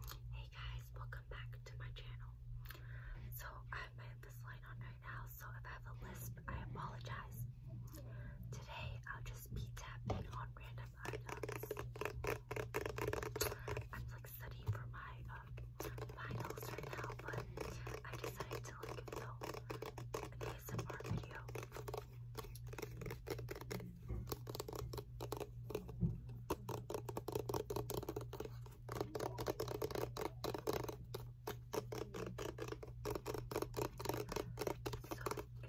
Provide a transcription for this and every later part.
Hey guys, welcome back to my channel. So I have my line on right now, so if I have a lisp, I apologize. Today I'll just be tapping on random items. I'm like studying for my um, finals right now, but I decided to like film an ASMR video if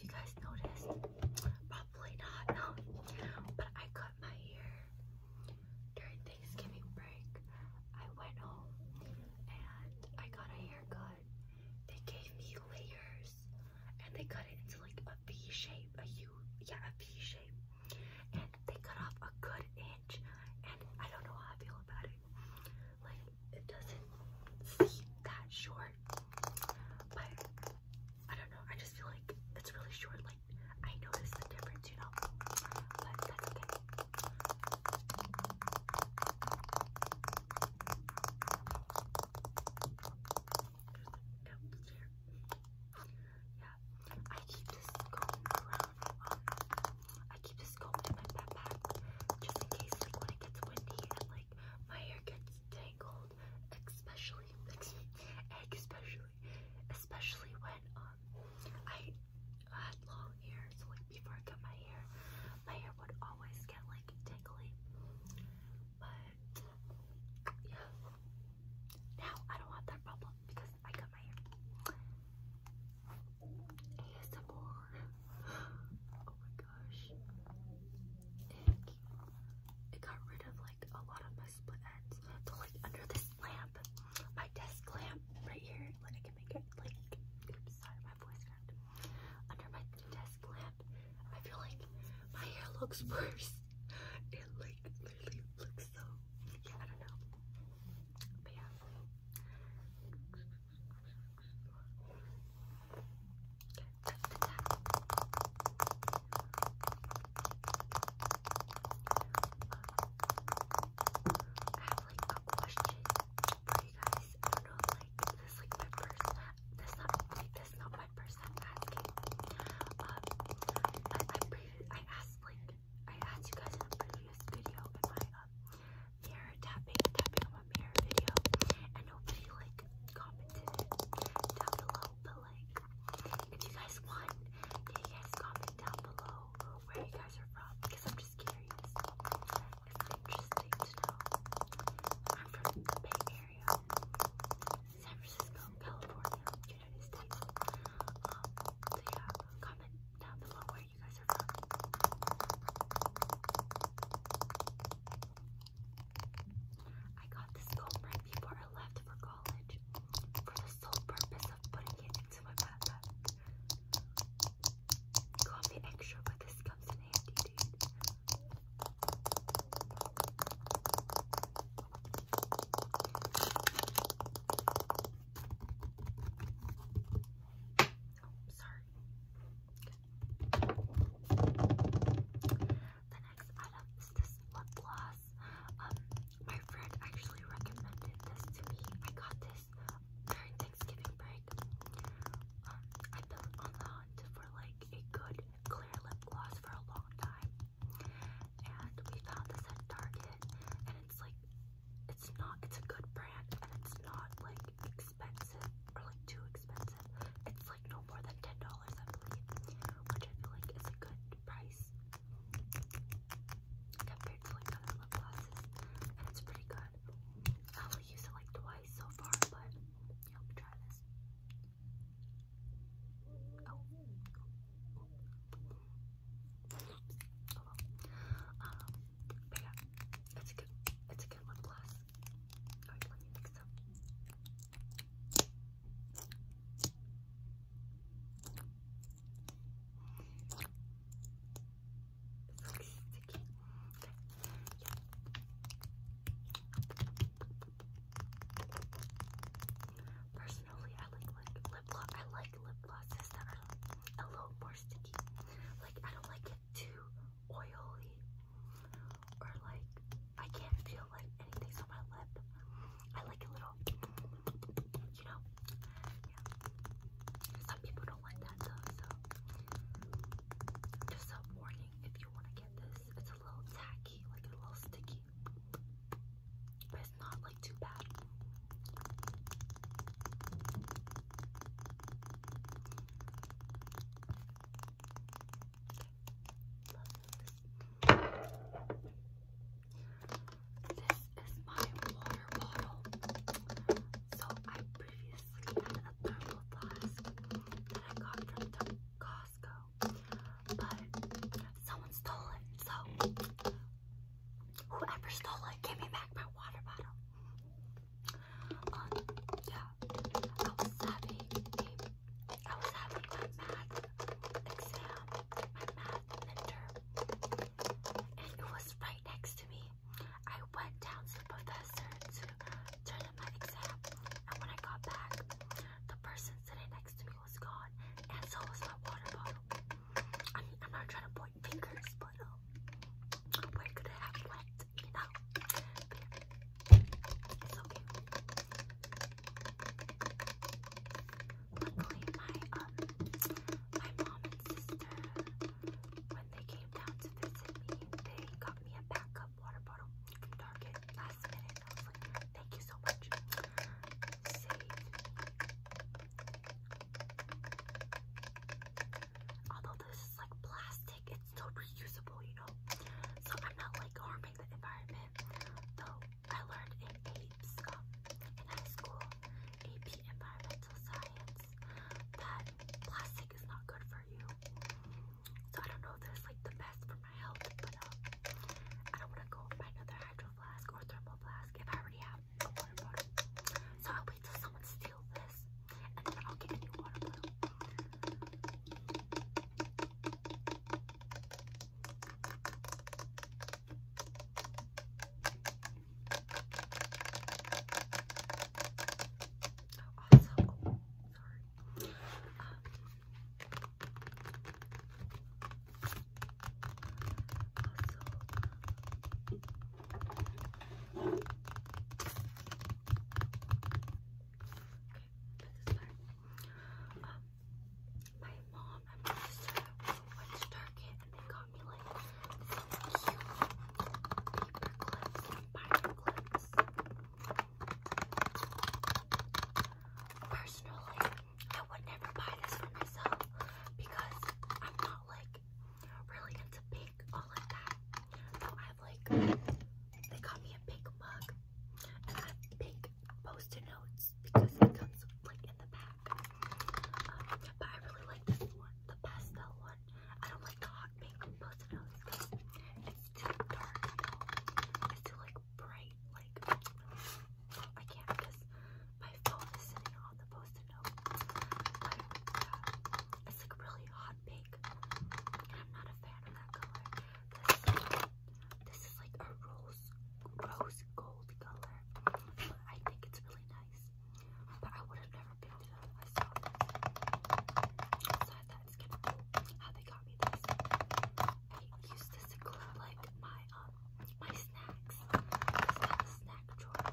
you guys noticed, probably not, but I cut my hair during Thanksgiving break. I went home and I got a haircut. They gave me layers and they cut it into like a V shape, a U, yeah, a V shape. And they cut off a good inch, and I don't know how I feel about it. Like it doesn't seem that short, but I don't know. I just feel like it's really short. Like I notice the difference, you know. But okay there. Yeah, I keep this comb around. Um, I keep this comb in my backpack just in case, like when it gets windy and like my hair gets tangled, especially, especially, especially when um I had long hair. So like before I cut my hair, my hair would always get like tingly. But yeah. Now I don't have that problem because I cut my hair. ASMR. Oh my gosh. It, it got rid of like a lot of my split ends. So like under this lamp, my desk lamp right here, like I can make it like sorry, my voice cracked. Under my desk lamp. I feel like my hair looks worse. It like literally looks so I don't know. I have like a question for you guys. I don't know, like this is like my first this not like, not my asking. Um, I, I, I asked I asked you guys in a previous video in my uh, mirror tapping tapping on my mirror video, and nobody like commented down below. But like, if you guys want, you guys comment down below where you guys are from? Because I'm just curious. It's interesting to know. I'm from the Bay Area. San Francisco, California, United States. Um, yeah, comment down below where you guys are from. I got this comb right before I left for college for the sole purpose of putting it into my backpack. Call me extra, but this comes in handy, dude sorry. The next item is this lip gloss. Um, my friend actually recommended this to me. I got this during Thanksgiving break. Um, I built on hunt for like a good clear lip gloss for a long time. And we found this at Target and it's like it's not it's a good brand and it's not like expensive or like too expensive. It's like no more than ten dollars I believe, which I feel like is a good price compared to like other lip glosses and it's pretty good fun. I only used it like twice so far, but yeah, let me try this. Oh. oh, oh. Um, but yeah, it's a good, it's a good lip gloss. Alright, let me mix them. Personally, I like, like lip gloss. I like lip glosses that are a little more sticky. Like I don't like it too oily, or like I can't feel like anything's on my lip. I like a little, you know. Some people don't like that though, so just a warning if you want to get this, it's a little tacky, like a little sticky, but it's not like too bad. This is my water bottle. So I previously had a thermal flask that I got from Costco, but someone stole it. So whoever stole it, give me back my water bottle. Um, yeah, I was having a, I was having my math exam, my math mentor, and it was right next to me. I went down to professor to turn in my exam, and when I got back, the person sitting next to me was gone, and so was my water bottle. I am not trying to point fingers, but um, where could it have went, you Luckily, my um, my mom and sister, they came down to visit me, they got me a backup water bottle from Target last minute. thank you so much. Although this is like plastic, it's still reusable, you know? So I'm not like harming the environment. Though I learned in APES in high school, AP Environmental Science, that plastic is not good for you. So I don't know if this is like the best for my health, but uh, I don't want to go buy another hydro flask or thermal flask if I already have So i wait till someone steals this, and then I'll get new water Oh, also, oh, sorry. Um, also, okay, this is um, my mom and my sister went to Target and they got got me Personally, I would never buy this for myself because I'm not like really into pink all like that. So i like they got me a pink mug and I pink post-it notes because it comes like in the bag. Um, but I really like this one, the pastel one. I don't like the hot pink pastel. It's too dark, you know. like bright. Like I can't because my phone is sitting on the post-it note. it's like really hot pink, and I'm not a fan of that color. This, this is like a rose, rose gold color. I think it's really nice. I would gonna be how they got me this. I used to glue like my um my snacks. It's like the snack drawer.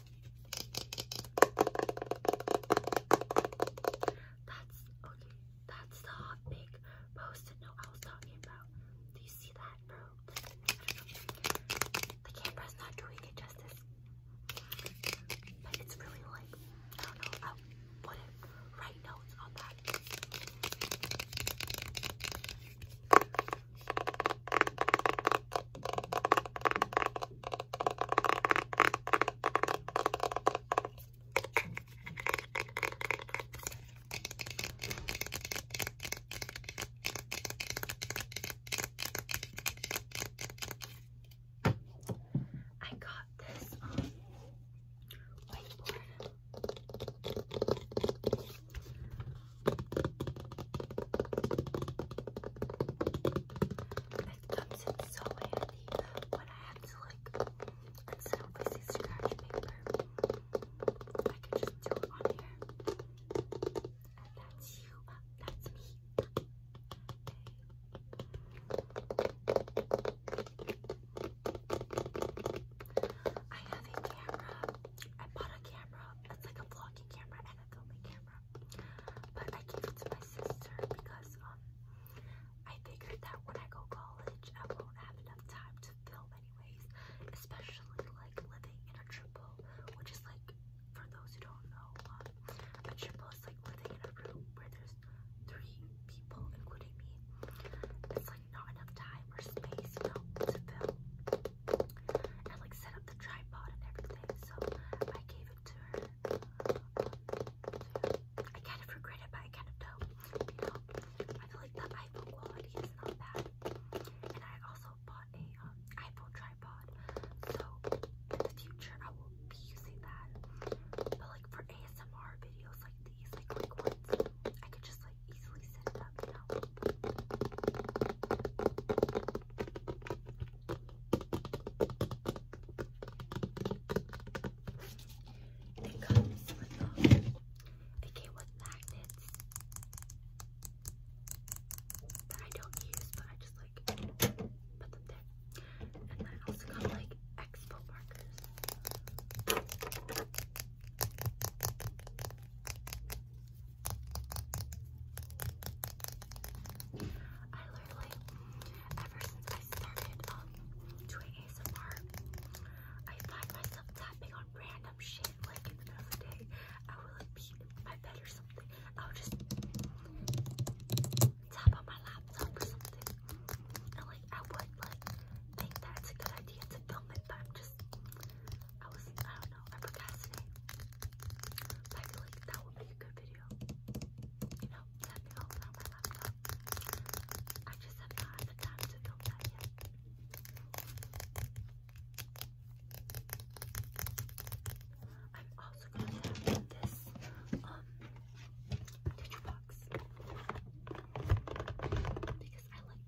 That's okay. That's the hot big post-it note I was talking about. Do you see that, bro? The camera's not doing it justice. But it's really like, I don't know, I write notes on that. I got this um, whiteboard it comes in so handy when I have to like, instead of wasting paper, I can just do it on here. that's you, that's me. I have a camera. I bought a camera. It's like a vlogging camera and a filming camera camera. But I gave it to my sister because um I figured that when I go college I won't have enough time to film anyways, especially like living in a triple, which is like for those who don't know, um, a triple is like living in a room where there's three people, including me. It's like not enough time or space, you know, to film and like set up the tripod and everything. So I gave it to her. Um, I kind of regret it, but I kind of don't. You know, I feel like the iPhone quality is not bad. And I also bought a um, iPhone tripod, so in the future I will be using that. But like for ASMR videos like these, like quick ones, I could just like easily set it up, you know. It comes with um, they came with magnets that I don't use, but I just like put them there. And I also got like expo markers. I literally, ever since I started um, doing ASMR, I find myself tapping on random shit, like in the middle of the day, I will like be in my bed or something, I will just tap on my laptop or something, and like I would like think that it's a good idea to film it, but I'm just I was, I don't know, I I feel like that would be a good video. You know, let me on my laptop. I just have not had the time to film that yet. I'm also going to have this, um, tissue box. Because I like the sound.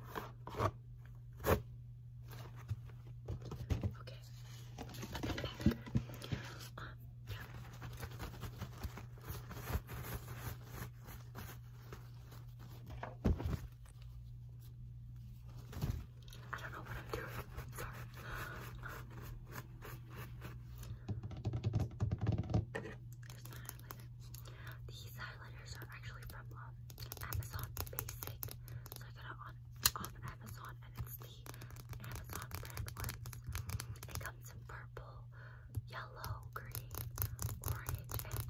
Okay. yeah. I don't know what I'm doing. Sorry. These highlighters are actually from um, Amazon Basic. So I got it on, on Amazon and it's the Amazon brand ones. It comes in purple, yellow, green, orange, and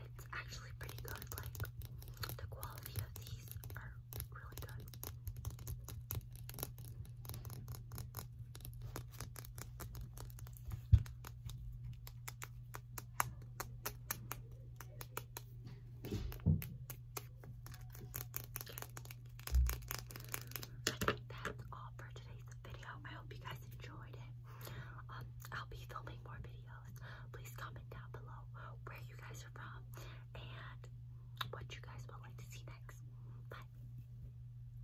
it's actually pretty good. Like, the quality of these are really good. That's all for today's video. I hope you guys enjoyed it. Um, I'll be filming more videos. Please comment down below where you guys are from and what you guys would like to see next. Bye.